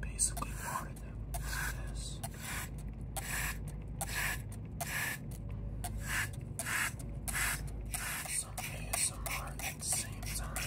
basically wanted them this. Some ASMR at the same time.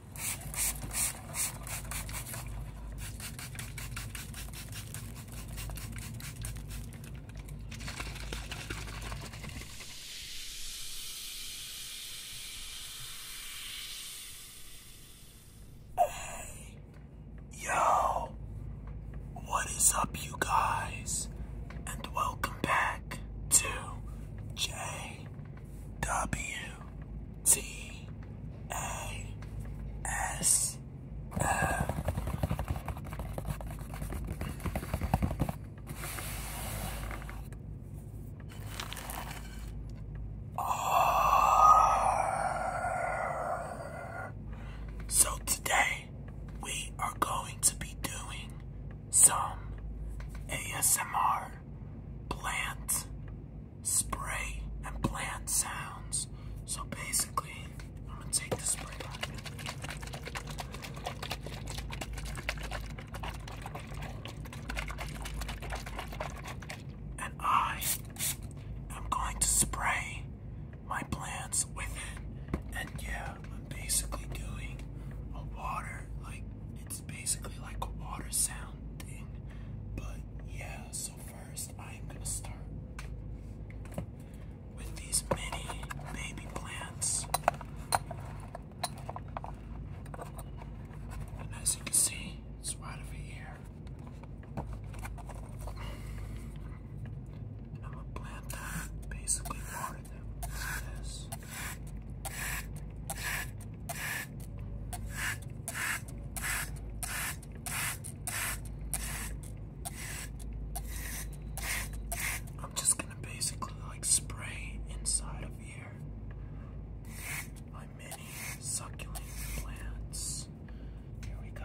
Yo, what is up, you guys, and welcome back to Jay. W T A S F. So today we are going to be doing some ASMR plant spray and plant sounds. So basically, I'm gonna take the spray bottle. And I am going to spray my plants with it. And yeah, I'm basically doing a water like it's basically like a water sound thing. But yeah, so first I'm gonna start with these mini baby plants. And as you can see, it's right over here. And I'm gonna plant that, basically water them I'm just gonna basically like spray inside of here my many succulent plants. Here we go.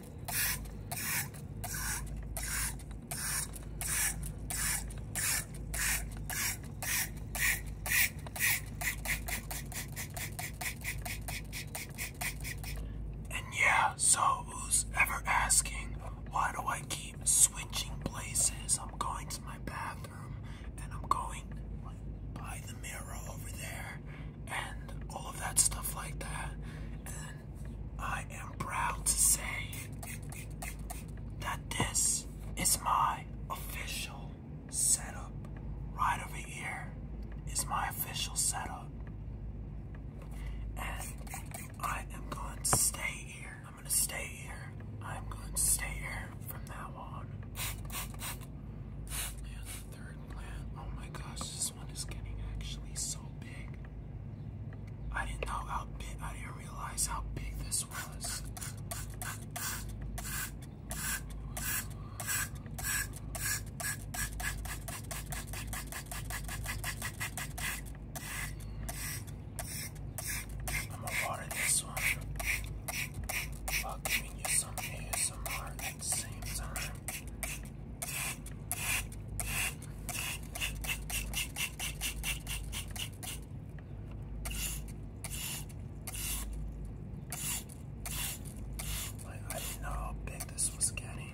And yeah, so who's ever asking, why do I keep switching places? I'm going to my bathroom and I'm going by the mirror over there and all of that stuff like that. And I am proud to say that this is my official setup. Right over here is my official setup. And I am going to stay here. I'm going to stay here. I'm going to stay here from now on. And the third plant. Oh my gosh, this one is getting actually so big. I didn't know how big, I didn't realize how big this was. I'm gonna water this one while giving you some ASMR at the same time. Like, I didn't know how big this was getting.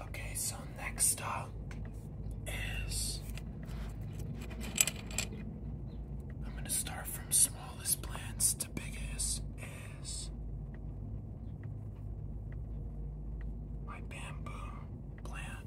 Okay, so next stop is I'm gonna start from smallest plants to biggest is my bamboo plant.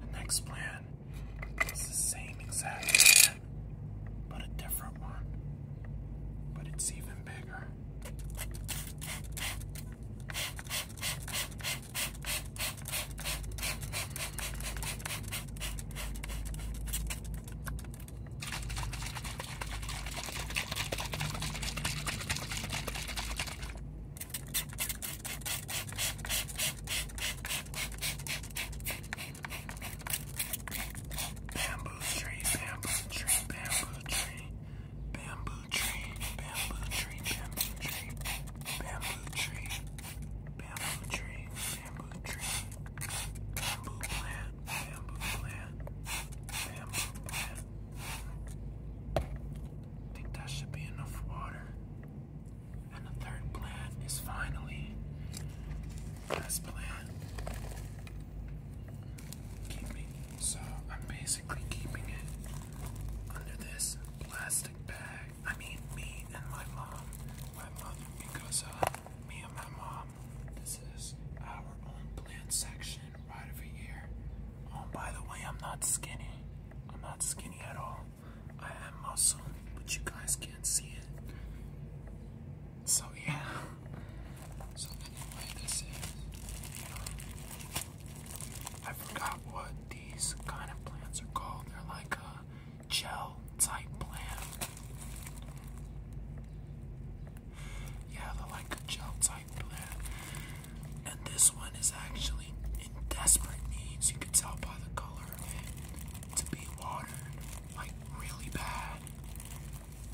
The next plan is the same exact plan, but a different one. But it's even bigger. Bamboo tree, bamboo tree, bamboo tree tree, bamboo tree, bamboo tree, bamboo tree, bamboo tree, bamboo tree, bamboo tree, bamboo plant, bamboo plant, bamboo plant. I think that should be enough water. And the third plant is finally this plant so I'm basically keeping it under this plastic bag. I mean me and my mom. My mom because uh me and my mom. This is our own plant section right over here. Oh by the way I'm not skinny. I'm not skinny at all. I have muscle, but you guys can't see it. So yeah. I forgot what these kind of plants are called. They're like a gel type plant. Yeah, they're like a gel type plant. And this one is actually in desperate needs. You can tell by the color to be watered like really bad.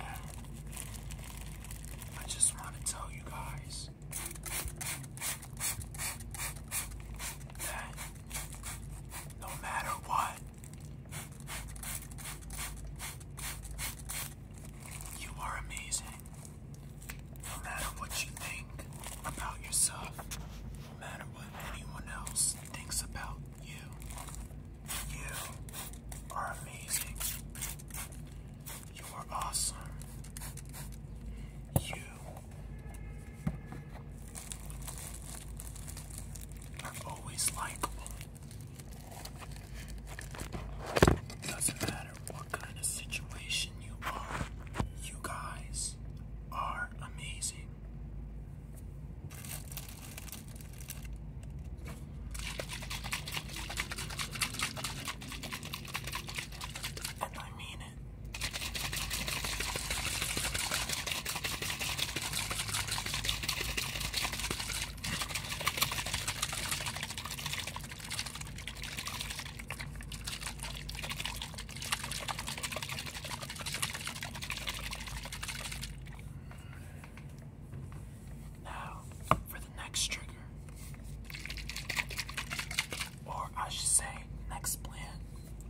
I just want to tell you guys that no matter what, you are amazing. No matter what you think about yourself, no matter what anyone else thinks about you, you are amazing. You are awesome. You are always likable. Doesn't matter what kind of situation you are, you guys are amazing. And I mean it. Now, for the next trigger, or I should say, next plan,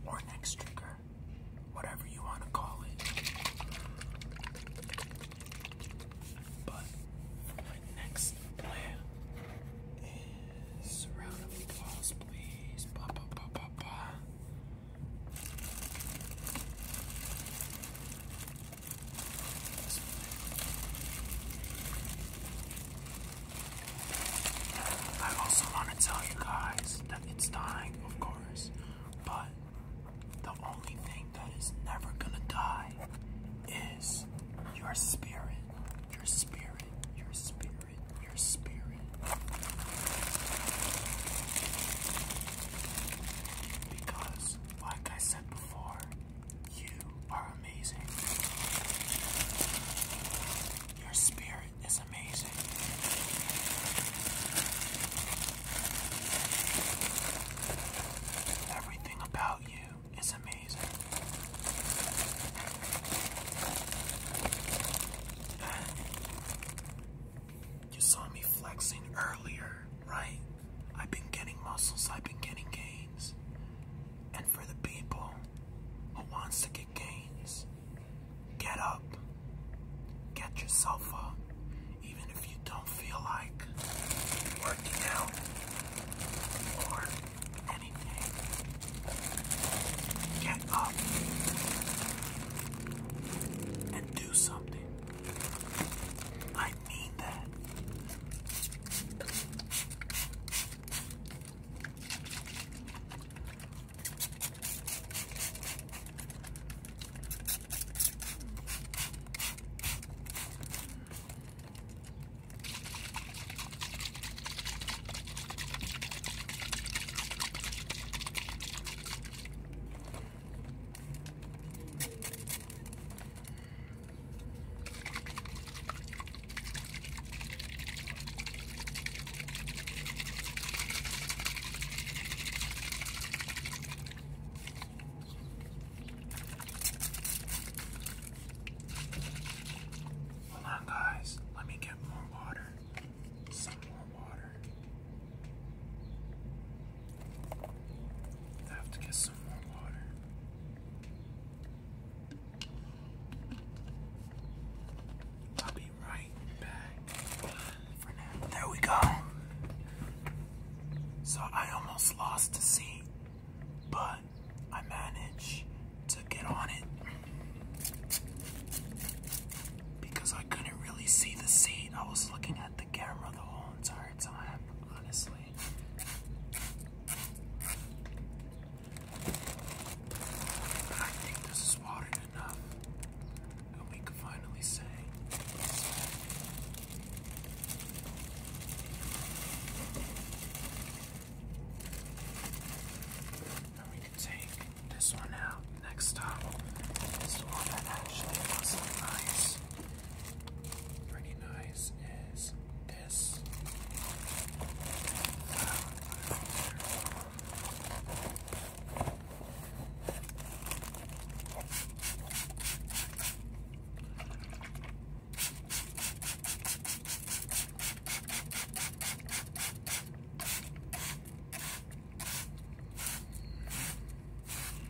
or next trigger, whatever you want to call it. But my next plan is round applause, please. Ba, ba, ba, ba, ba. I also want to tell you guys that it's dying, of course, but the only thing that is never gonna die is your spirit. Your spirit, your spirit, your spirit. Because like I said before, you are amazing. Your spirit is amazing. Everything about you is amazing. You saw me flexing earlier right? I've been getting muscles, I've been getting gains. And for the people who wants to get gains, get up. Get yourself up. Even if you don't feel like working out or anything. Get up and do something. I need that. Hold on, guys. Let me get more water. Some more water. I have to get some more water. I'll be right back There we go. So I almost lost the seat, but I managed to get on it because I couldn't really see the seat. I was looking at the camera the whole entire honestly. I think this is watered enough, and we can finally say. And we can take this one out next time. This one that actually was nice pretty nice is this.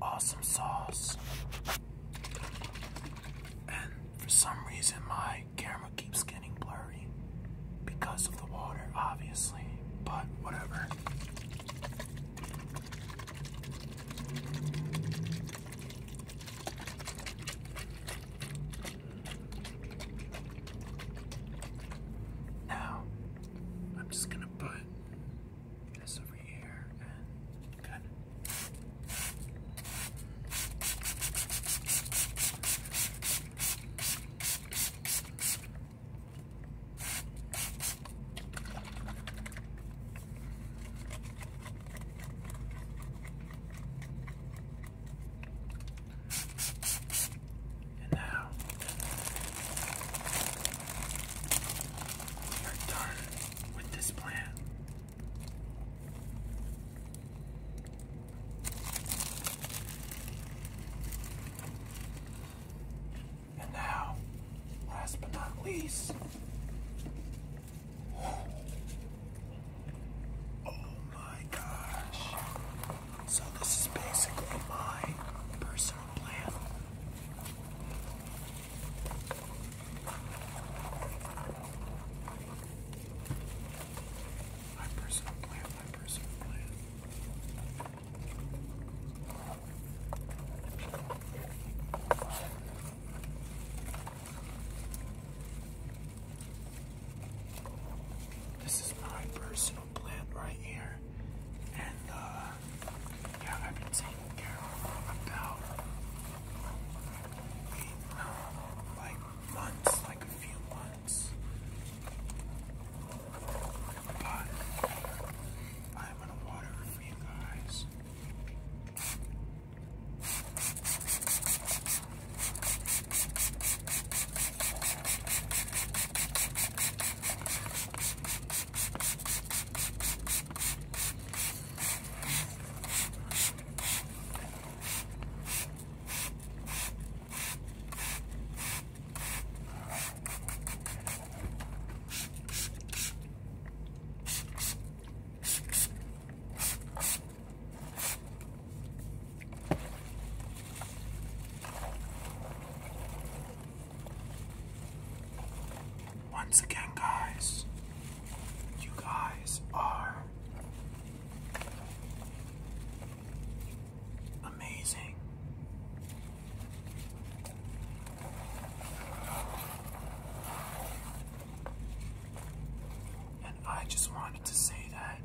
Awesome sauce. And for some reason, my camera keeps getting blurry because of the water, obviously, but whatever. Now, I'm just gonna put this over here and kind and now we are done with this plan. And now, last but not least, oh my gosh. So, this is basically my personal plan. My personal plan, my personal plan. This is my personal plant right here, and uh, yeah, I've been taking care of about like months, like a few months. But I'm gonna water it for you guys. Once again, guys, you guys are Amazing. And I just wanted to say that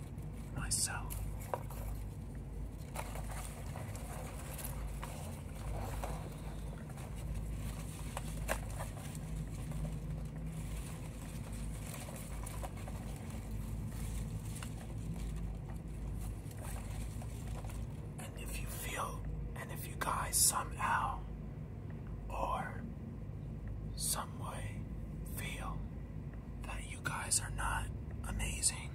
myself. And if you feel, and if you guys somehow or some way feel that you guys are not amazing,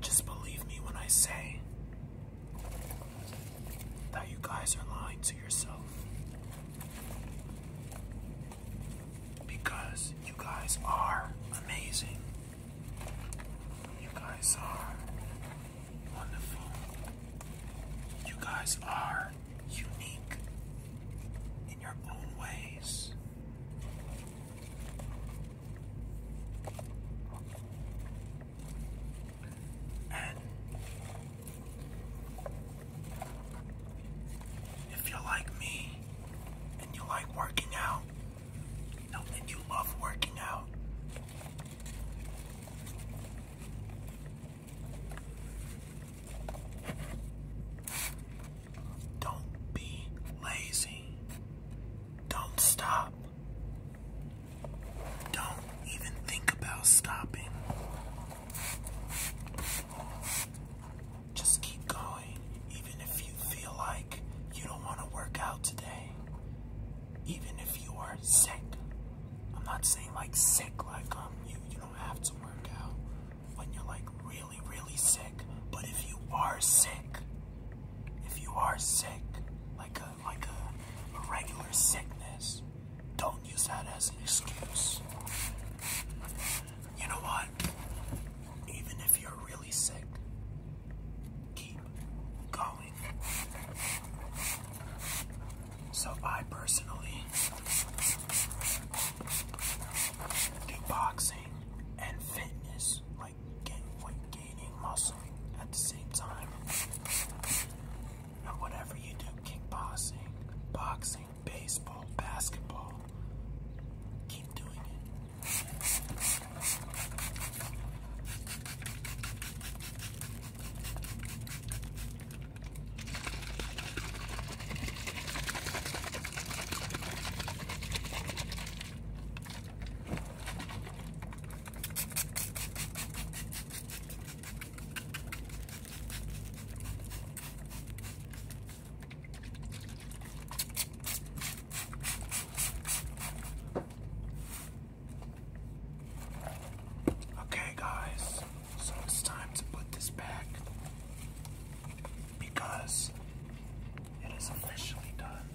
just believe me when I say that you guys are lying to yourself. Because you guys are amazing. You guys are wonderful. You guys are unique in your own ways if you like me and you like working out, and you love working out, don't be lazy. Don't stop. Don't even think about stopping. Just keep going, even if you feel like you don't want to work out today. Even if you are sick. I'm not saying like sick, like um, you, you don't have to work out when you're like really, really sick. But if you are sick, if you are sick, like like a, regular sickness. Don't use that as an excuse. You know what? Even if you're really sick, keep going. So I personally do boxing and fitness, like getting muscle at the same time. And whatever you do, kickboxing, boxing, baseball, basketball, keep doing it. Okay, guys, so it's time to put this back because it is officially done.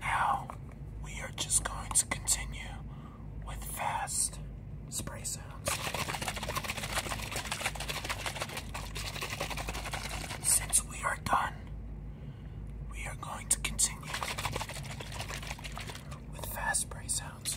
Now we are just going to continue with fast spray sounds. Since we are done, we are going to continue with fast spray sounds.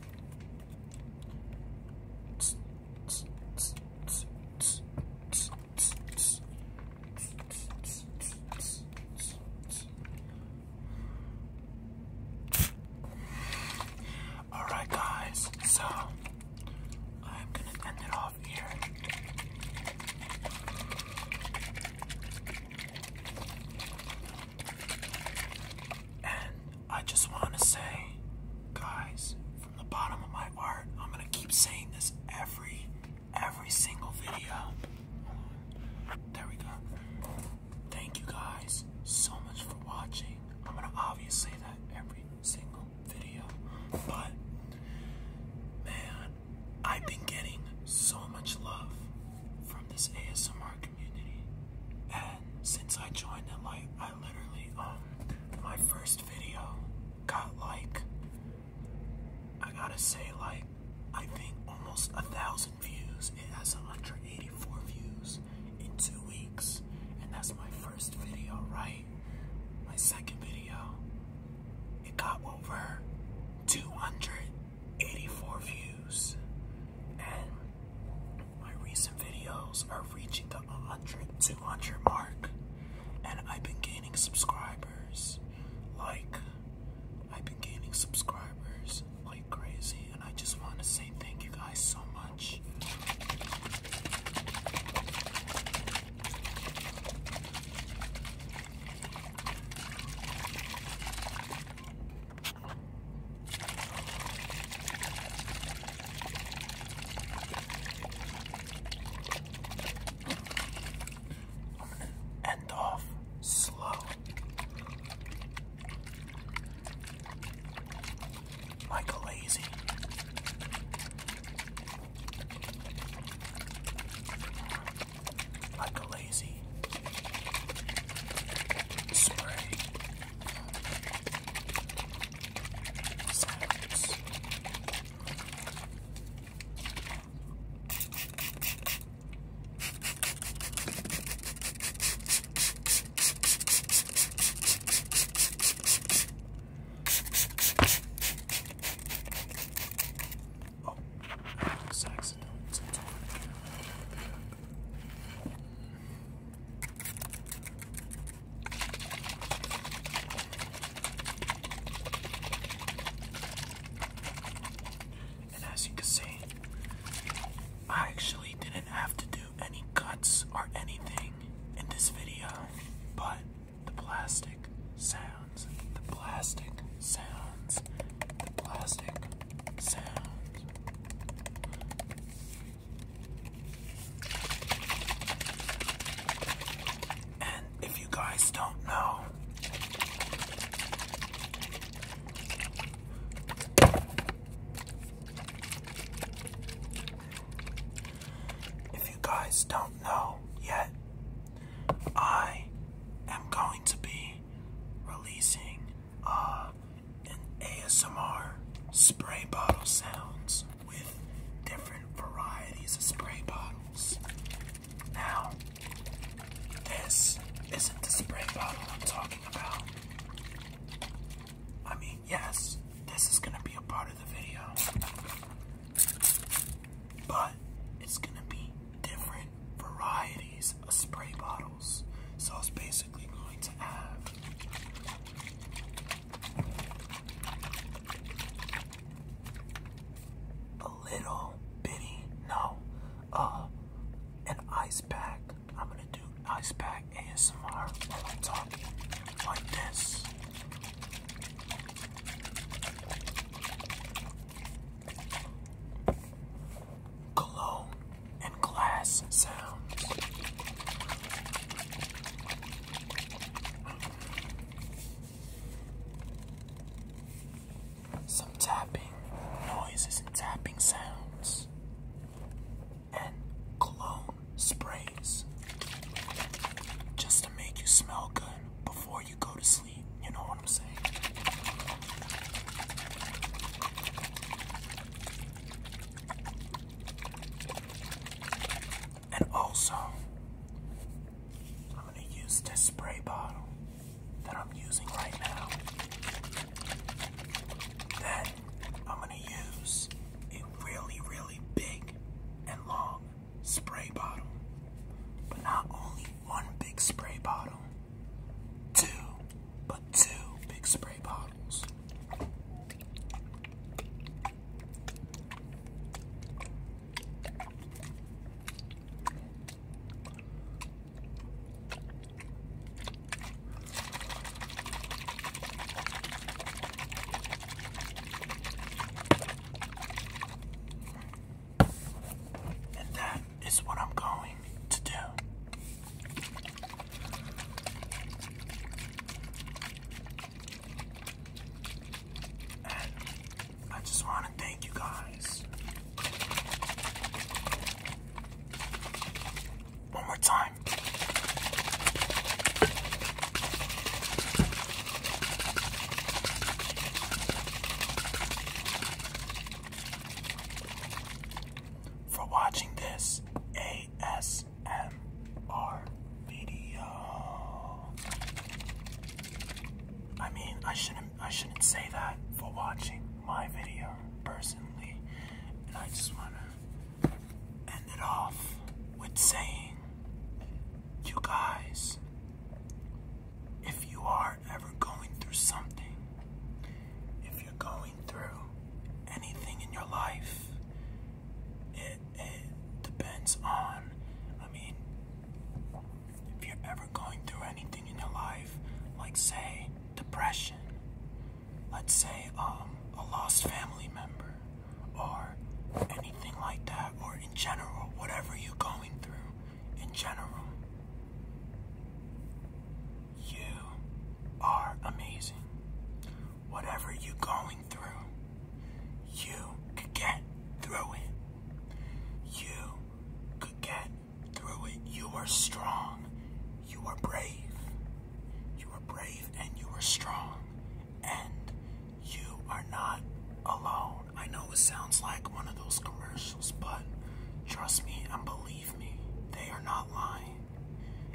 Alright, guys, so I'm gonna end it off here. And I just want to say, guys, from the bottom of my heart, I'm going to keep saying this every, every single video. There we go. Thank you guys so much for watching. I'm going to obviously that every single video. But, man, I've been getting so much love from this ASMR and since I joined it, like I literally, um, my first video got like, I gotta say, like, I think almost a thousand views. It has 184 views in two weeks, and that's my first video, right? My second video, it got over 200 84 views, and my recent videos are reaching the 100, mark, and I've been gaining subscribers. Like, I've been gaining subscribers like crazy, and I just want to say thank you guys so much. I'm going to end off slow. Like a lazy. Like a lazy lazy. Spray. Silence. Oh, I accidental. And as you can see, I actually didn't have to do any cuts or anything in this video, but the plastic sounds, the plastic sounds plastic sound. And if you guys don't know, if you guys don't know yet, I am going to be releasing uh, an ASMR spray bottle sounds with different varieties of spray bottles. Now, this isn't the spray bottle I'm talking about. I mean, yes, this is gonna be a part of the video, but it's gonna be different varieties of spray bottles pounds. So it's basically going to have a little bitty, no, uh, an ice pack. I'm gonna do ice pack ASMR while i like this cologne, and glass sound. Some tapping noises and tapping sounds, and cologne sprays just to make you smell good before you go to sleep. You know what I'm saying? And also, I'm going to use this spray bottle that I'm using right now. Then I'm going to use a really, really big and long spray bottle. But not only one big spray bottle, Two, but two big spray bottles. And that is what I'm going to do. And I just want to thank you guys one more time for watching this ASMR video. I mean, I shouldn't I shouldn't say that for watching my video personally. And I just want to end it off with saying you guys if you are ever going through something, if you're going through anything in your life, it, it depends on, I mean, if you're ever going through anything in your life, like say depression, let's say um, a lost family member, or anything like that, or in general, whatever you're going through, in general. You are amazing. Whatever you're going through, you could get through it. You could get through it. You are strong. You are brave. You are brave and you are strong. And you are not alone. I know it sounds like one of those commercials, but trust me, I'm believing they are not lying,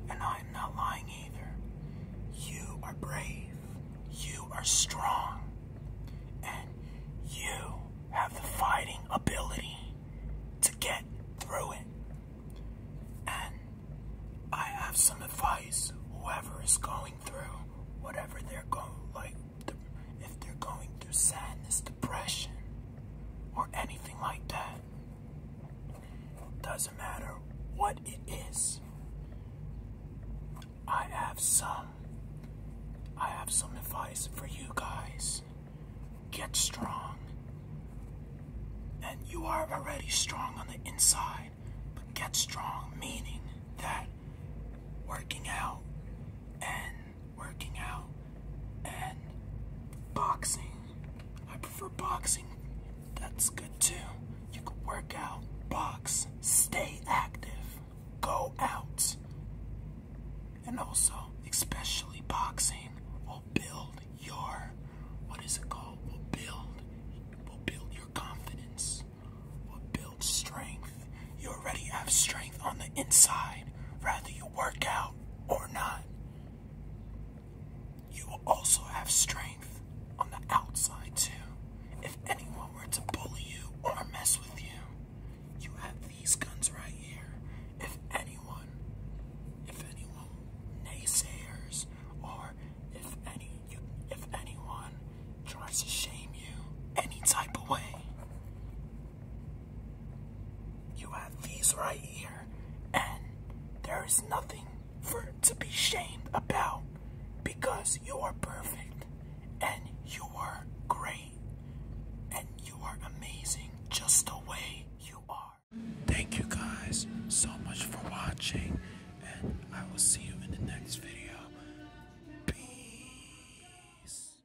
and I am not lying either. You are brave, you are strong, and you have the fighting ability to get through it. And I have some advice whoever is going through whatever they're going through if they're going through sadness, depression, or anything like that. Doesn't matter what it is. I have some. I have some advice for you guys. Get strong. And you are already strong on the inside, but get strong, meaning that working out and working out, and boxing. I prefer boxing. That's good too. You can work out, box, stay active, go out. And also, especially boxing, will build your, what is it called? Will build, will build your confidence, will build strength. You already have strength on the inside. Rather, you work out or not, you will also have strength on the outside too. If anyone were to bully you or mess with you, you have these guns right here. If anyone, if anyone, naysayers, or if any, if anyone tries to shame you any type of way, you have these right here, and there is nothing for to be ashamed about because you are perfect and you are great and you are amazing just the way you are. Thank you guys so much for watching and I will see you in the next video. Peace.